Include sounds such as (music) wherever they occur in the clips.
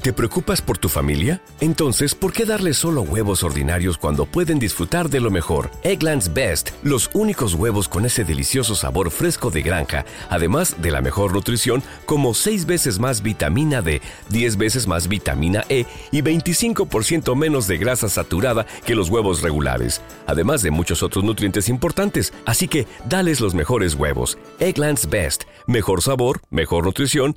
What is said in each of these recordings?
¿Te preocupas por tu familia? Entonces, ¿por qué darle solo huevos ordinarios cuando pueden disfrutar de lo mejor? Eggland's Best, los únicos huevos con ese delicioso sabor fresco de granja, además de la mejor nutrición, como 6 veces más vitamina D, 10 veces más vitamina E y 25% menos de grasa saturada que los huevos regulares, además de muchos otros nutrientes importantes. Así que, dales los mejores huevos. Eggland's Best, mejor sabor, mejor nutrición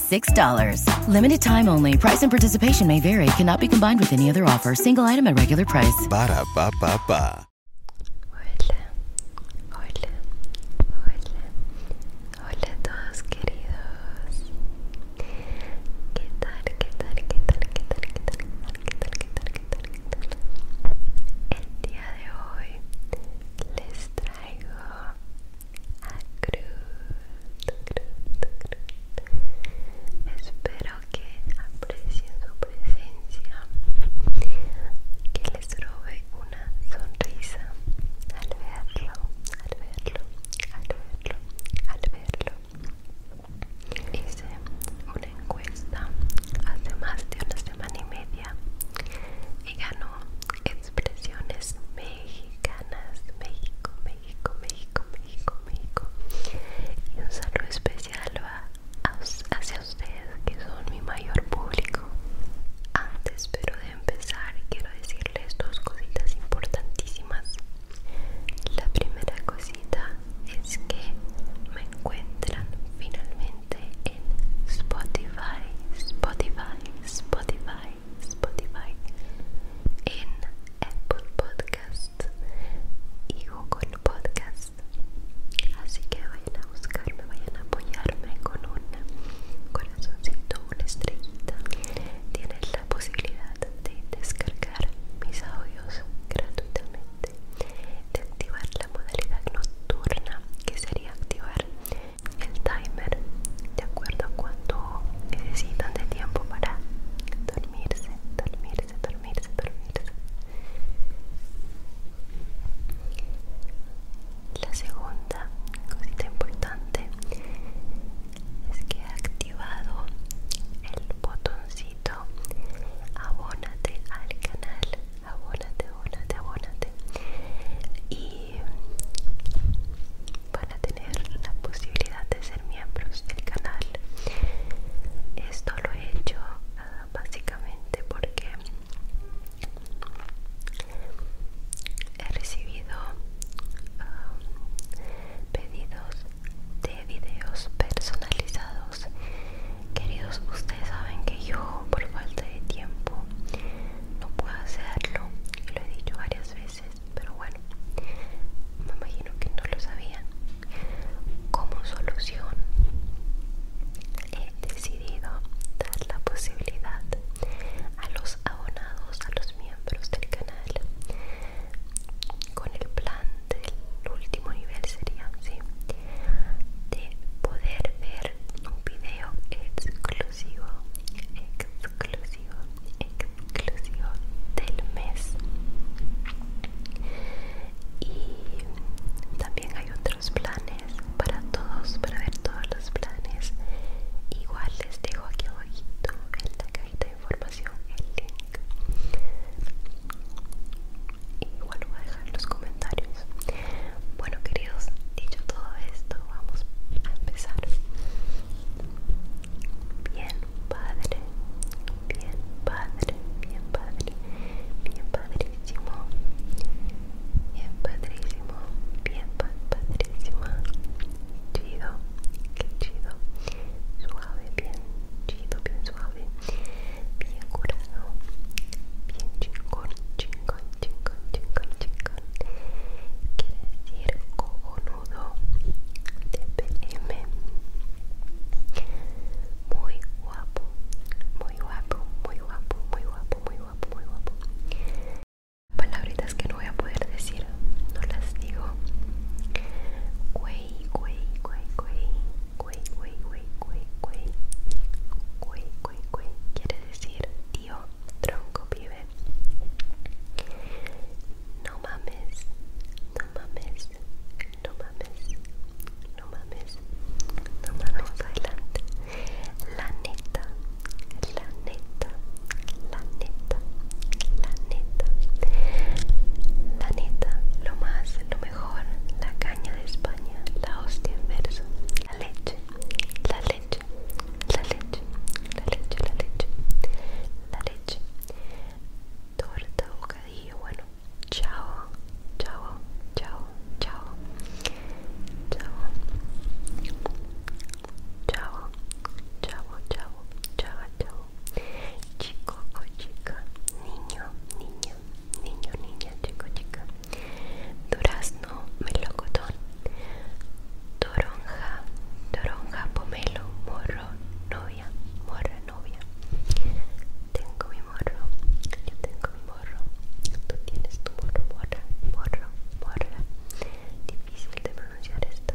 $6. Limited time only. Price and participation may vary. Cannot be combined with any other offer. Single item at regular price. Ba da ba Hola. Hola. Hola. Hola todos, queridos. ¿Qué tal? ¿Qué tal? ¿Qué tal? ¿Qué tal? ¿Qué tal? ¿Qué tal? ¿Qué tal? ¿Qué tal? El día de hoy les traigo a Espero que aprecien su presencia, que les robe una sonrisa al verlo, al verlo, al verlo, al verlo. Hice una encuesta hace más de una semana y media y ganó expresiones mexicanas México, México, México, México, México y un saludo especial va hacia ustedes que son mi mayor público antes pero de empezar quiero decirles dos cositas importantísimas la primera cosita es que me encuentran finalmente en Spotify, Spotify, Spotify Spotify, en Apple Podcasts y Google Podcast Así que vayan a buscarme, vayan a apoyarme con un corazoncito, una estrellita. Tienes la posibilidad de descargar mis audios gratuitamente, de activar la modalidad nocturna que sería activar el timer de acuerdo a cuánto necesitan de tiempo para dormirse, dormirse, dormirse, dormirse. La segunda cosita importante es que he activado el botoncito abónate al canal, abónate, abónate, abónate y van a tener la posibilidad de ser miembros del canal esto lo he hecho ah, básicamente porque he recibido ah, pedidos de videos personalizados queridos ustedes saben que yo por falta de tiempo no puedo hacerlo y lo he dicho varias veces pero bueno me imagino que no lo sabían como solución he decidido dar la posibilidad a los abonados a los miembros del canal con el plan del último nivel sería ¿sí? de poder ver un video exclusivo exclusivo, exclusivo del mes. Y también hay otros planes para todos, para ver todos los planes. Igual les dejo aquí abajito el la de información el link. Igual lo voy a dejar en los comentarios. Bueno, queridos, dicho todo esto, vamos a empezar. Bien, padre, bien, padre, bien, padre, bien, padrísimo, bien, padrísimo, bien, padrísimo chido, qué chido, suave, bien, chido, bien suave, bien curado, bien chingón, chingón, chingón, chincón, chingón. Quiere decir cojonudo TPM. Muy guapo, muy guapo, muy guapo, muy guapo, muy guapo, muy guapo. Palabritas que no voy a poder decir, no las digo. Güey, güey, güey, güey, quiere decir tío, tronco, pibe, no mames, no mames, no mames, no mames, no mames, adelante. La neta, la neta, la neta, la neta, la neta, lo más, lo mejor, la caña de España, la hostia en la leche, la leche la leche, la leche, la leche, la leche, torta, bocadillo, bueno, chao, chao, chao, chao, chao, chao, chao, chao, chao, chao, chico chica, niño, niño, niño, niña, chico, chica durazno, melocotón, toronja, toronja, pomelo, morro, novia, morra, novia. Tengo mi morro, yo tengo mi morro, tú tienes tu morro, morra, morro, morra. Difícil de pronunciar esto.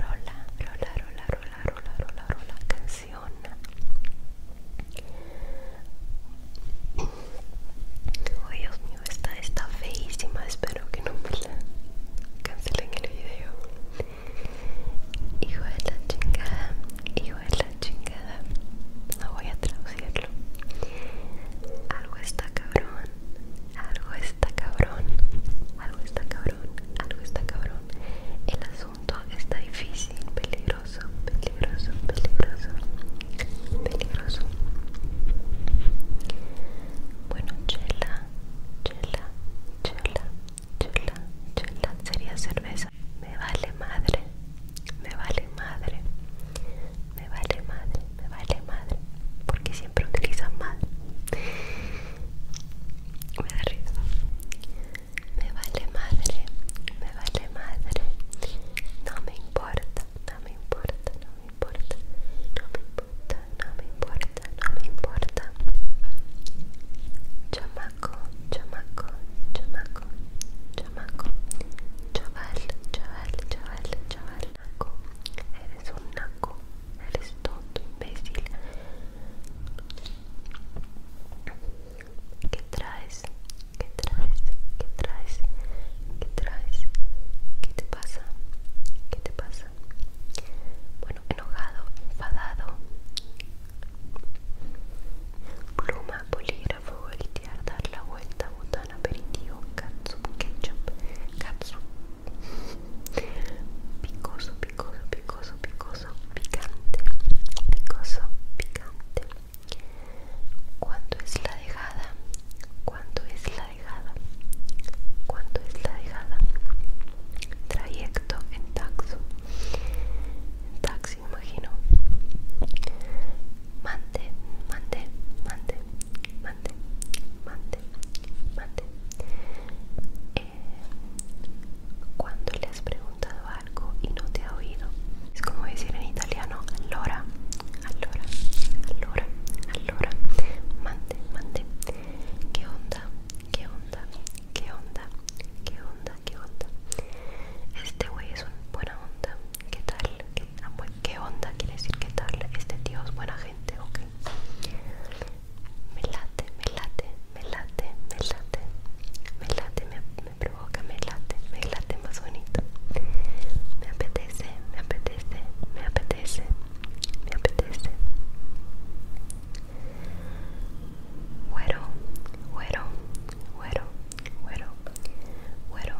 Rola, rola, rola, rola, rola, rola, rola, canción. Oh, Dios mío, esta está feísima. Espero que no me la cancelen el video. Hijo de la chingada, hijo de la chingada. No voy a traducirlo. Algo está cabrón, algo está cabrón, algo está cabrón, algo está cabrón. El asunto está difícil, peligroso, peligroso, peligroso peligroso. Bueno, chela, chela, chela, chela, chela sería cerveza. Me vale madre, me vale madre, me vale madre, me vale madre, porque siempre utilizan mal Me da Me vale madre, me vale madre. No me importa, no me importa, no me importa, no me importa, no me importa, no me importa. Chamaco, chamaco, chamaco, chamaco, chaval, chaval, chaval, chaval, naco, eres un naco, eres tonto, imbécil. ¿Qué traes? traes? ¿Qué traes? ¿Qué traes? ¿Qué te pasa? ¿Qué te pasa? Bueno, enojado, enfadado. Pluma, polígrafo, voltear, dar la vuelta, botana, aperitivo, catsup, ketchup, catsup. Picoso, picoso, picoso, picoso, picante, picoso, picante. ¿Cuánto es la dejada? ¿Cuánto es la dejada? ¿Cuánto es la dejada? Trayecto en taxi? En taxi, imagino. Mante, mante, mante, mante, mante, ¿Mande? Eh, cuando le has preguntado algo y no te ha oído. Es como decir en italiano, Lora, allora, allora, allora, mante, mante, ¿Qué onda, ¿Qué onda, ¿Qué onda, ¿Qué onda, ¿Qué onda, este güey es una buena onda, ¿qué tal? ¿Qué, ah, ¿Qué onda? Quiere decir qué tal, este tío es buena gente, ok. Me late, me late, me late, me late, me late, me provoca, me late, me late más bonito. Me apetece me apetece, me apetece, me apetece. Güero, güero, güero, güero, güero.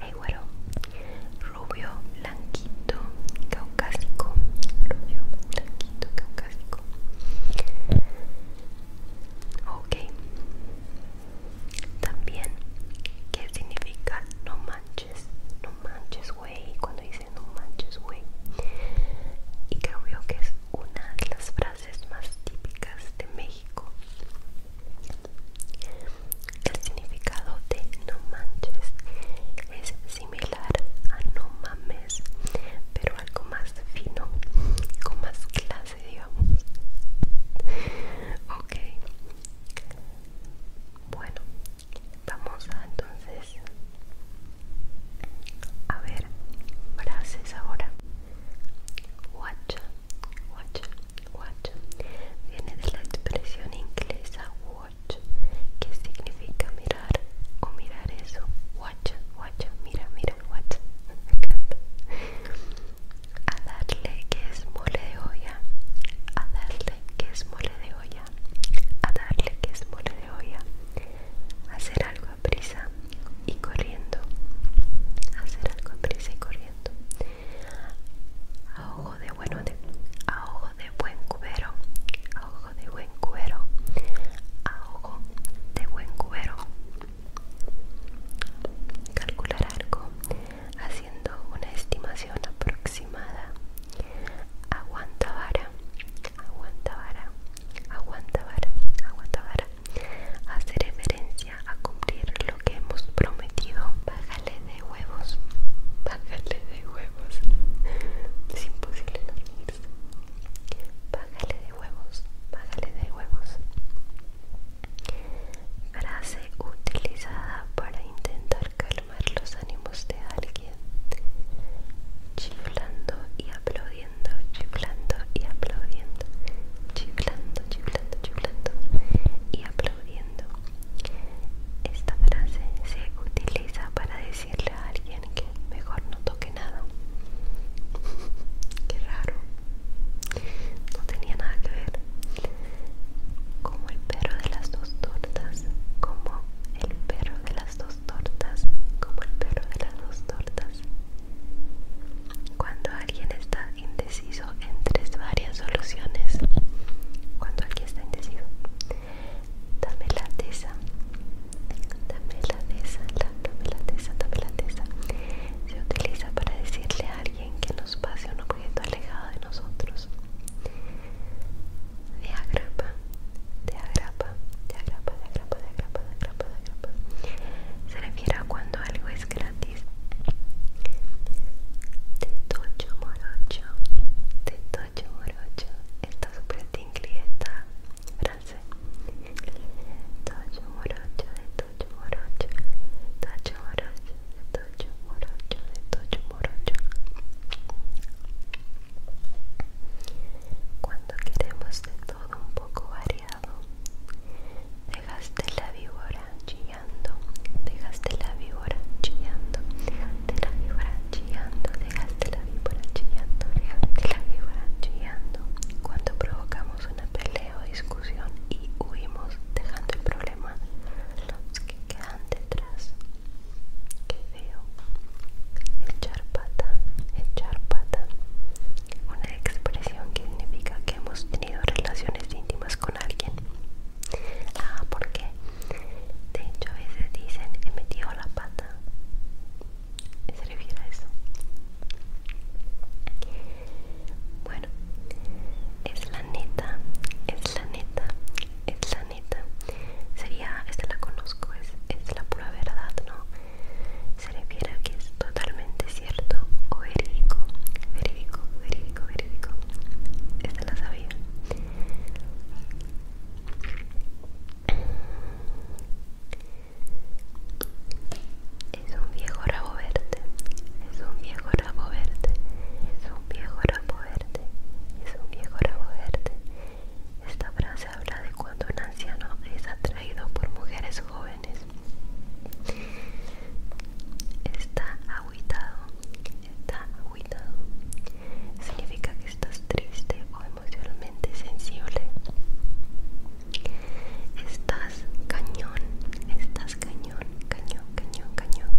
Hey, güero. Rubio, blanquito, caucásico. Rubio, blanquito, caucásico. Ok. También, ¿qué significa no manches? No manches, güey. Cuando dice no manches, güey. Y creo que es una de las frases más típicas de México. El significado de no manches es similar a no mames, pero algo más fino, con más clase, digamos. Ok, bueno, vamos a entonces a ver frases ahora. Watch, watch, watch. Viene de la expresión inglesa watch, que significa mirar o mirar eso. Watch, watch, mira, mira, watch. (laughs) Me encanta a darle que es mole de olla, a darle que es mole de olla, a darle que es mole de olla, hacer algo a prisa y corriendo, hacer algo a prisa y corriendo, a ojo de bueno a ojo de buen cubero, a ojo de buen cuero a ojo de buen cubero, calcular algo haciendo una estimación aproximada. Aguanta vara, aguanta vara, aguanta vara, aguanta Hace referencia a cumplir lo que hemos prometido. Bájale de huevos, bájale de huevos. Es imposible no págale Bájale de huevos, bájale de huevos. Frase utilizada para intentar calmar los ánimos de alguien. Chiflando y aplaudiendo, chiflando y aplaudiendo, chiflando, chiflando, chiflando y aplaudiendo. Esta frase se utiliza para decirle a alguien que mejor no toque nada. (laughs) Qué raro no tenía nada que ver como el perro de las dos tortas como el perro de las dos tortas como el perro de las dos tortas cuando alguien está indeciso entre varias soluciones cuando alguien está indeciso dame la tesa dame la tesa dame la tesa dame la tesa se utiliza para decirle a alguien que nos pase un objeto alejado de nosotros. De agrapa, de agrapa, de agrapa, de agrapa, de agrapa, de agrapa, de agrapa. Se refiere a cuando algo es gratis. De tocho morocho, de tocho morocho. Está súper tingly esta frase. Tocho morocho, de tocho morocho, tocho morocho, de tocho morocho, de tocho morocho. Cuando queremos de todo un poco variado, dejaste la víbora chillando, dejaste la víbora chillando, dejaste la víbora chillando, dejaste la víbora chillando, dejaste la víbora chillando. Cuando provocamos una pelea, discusión y huimos dejando el problema los que quedan detrás. que veo Echar pata, echar pata. Una expresión que significa que hemos tenido relaciones íntimas con alguien. Ah, porque de hecho a veces dicen he metido la pata. Se refiere a eso es la neta es la neta es la neta sería esta la conozco es, es la pura verdad no se le a que es totalmente cierto o verídico verídico verídico verídico esta la sabía es un viejo rabo verde, es un viejo rabo verde, es un viejo rabo verde, es un viejo rabo verde. Esta frase habla de cuando un anciano es atraído por mujeres jóvenes. Está aguitado, está aguitado. Significa que estás triste o emocionalmente sensible. Está cañón, estás cañón, cañón, cañón, cañón.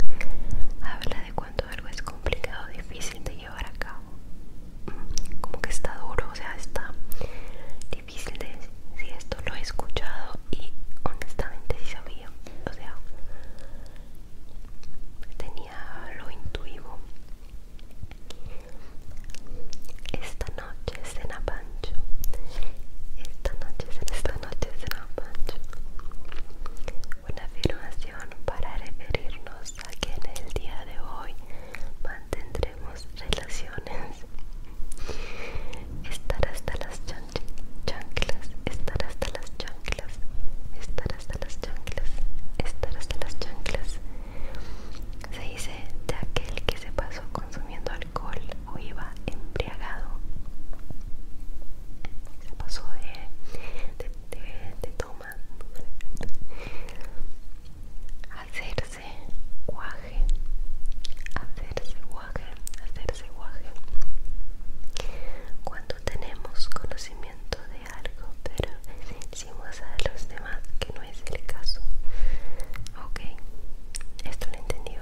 Habla de cuánto algo es complicado, difícil de llevar a cabo. Mm, como que está duro, o sea, está difícil de Si esto lo he escuchado y honestamente sí sabía, o sea, tenía lo intuivo. Esta noche cena esta noche esta Pancho. Una afirmación para referirnos a que en el día de hoy mantendremos relaciones. Estar hasta las chanclas, estar hasta las chanclas, estar hasta las chanclas, estar hasta las chanclas. Se dice de aquel que se pasó consumiendo alcohol alcohol o iba embriagado. Se pasó de, de, toma hacerse guaje, hacerse guaje, hacerse guaje. Cuando tenemos conocimiento de algo, pero decimos a los demás que no es el caso. Ok, esto lo entendió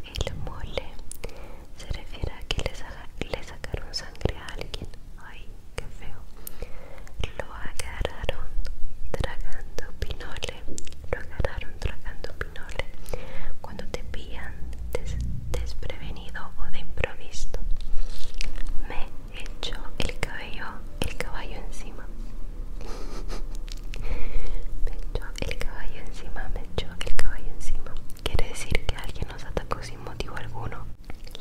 el mole se refiere a que le, sacaron sangre a alguien. Ay, qué feo. Lo agarraron tragando pinole. Lo agarraron tragando pinole. Cuando te pillan desprevenido o de improviso. Me echó el cabello, el caballo encima. (laughs) Me echó el caballo encima, me echó el caballo encima. Quiere decir que alguien nos atacó sin motivo alguno.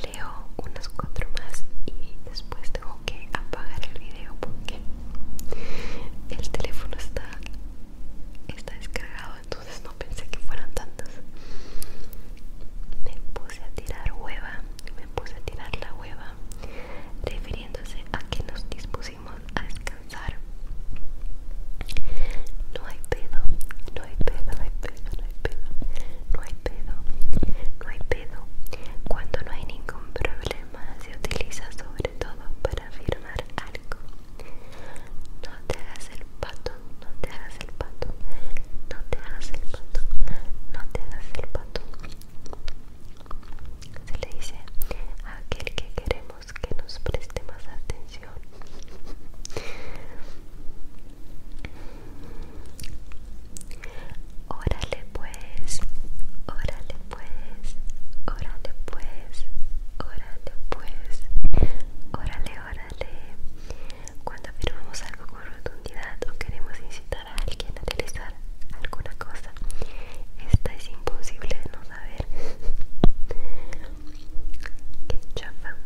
Leo unas cuatro más y después tengo que apagar el video porque el teléfono está, está descargado, entonces no pensé que fueran tantos Me puse a tirar hueva, me puse a tirar la hueva, refiriéndose a que nos dispusimos a descansar. No hay pedo, no hay pedo, no hay pedo, no hay pedo, no hay pedo, no hay pedo. Cuando no hay ningún problema se utiliza sobre todo para firmar algo. No te hagas el pato, no te hagas el pato, no te hagas el pato, no te hagas el pato se le dice a aquel que queremos que nos preste más atención órale pues órale pues órale pues órale pues órale órale cuando afirmamos algo con rotundidad o queremos incitar a alguien a realizar alguna cosa. Esta es imposible de no saber. (laughs) ¿Qué chafa,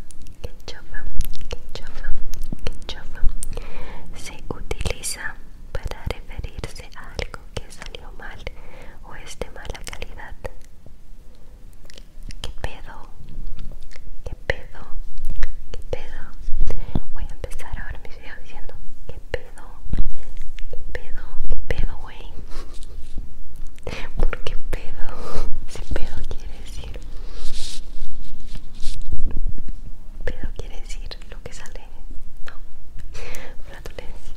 chafa, Se utiliza para referirse a algo que salió mal o es de mala calidad. ¿Qué pedo? ¿Qué pedo? ¿Qué pedo? Voy a empezar ahora mis videos diciendo que pedo? ¿Qué pedo? ¿Qué pedo, güey? ¿Por qué pedo? (laughs) Si pedo quiere decir. Pedo quiere decir lo que sale. No. Flatulencia.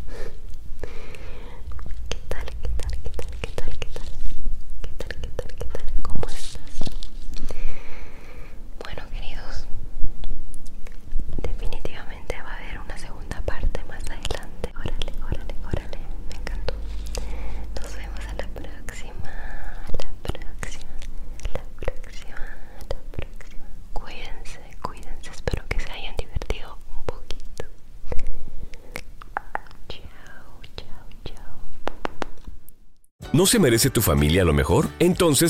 ¿Qué tal? ¿Qué tal? ¿Qué tal? ¿Qué tal? ¿Qué tal? ¿Qué tal? ¿Qué tal? ¿Qué tal? ¿Cómo estás? Bueno, queridos, definitivamente va a haber una segunda parte más adelante. Órale, órale, órale. Me encantó. Nos vemos a la próxima. la próxima. la próxima. la próxima. Cuídense, cuídense. Espero que se hayan divertido un poquito. Chao, chao, chao. ¿No se merece tu familia lo mejor? Entonces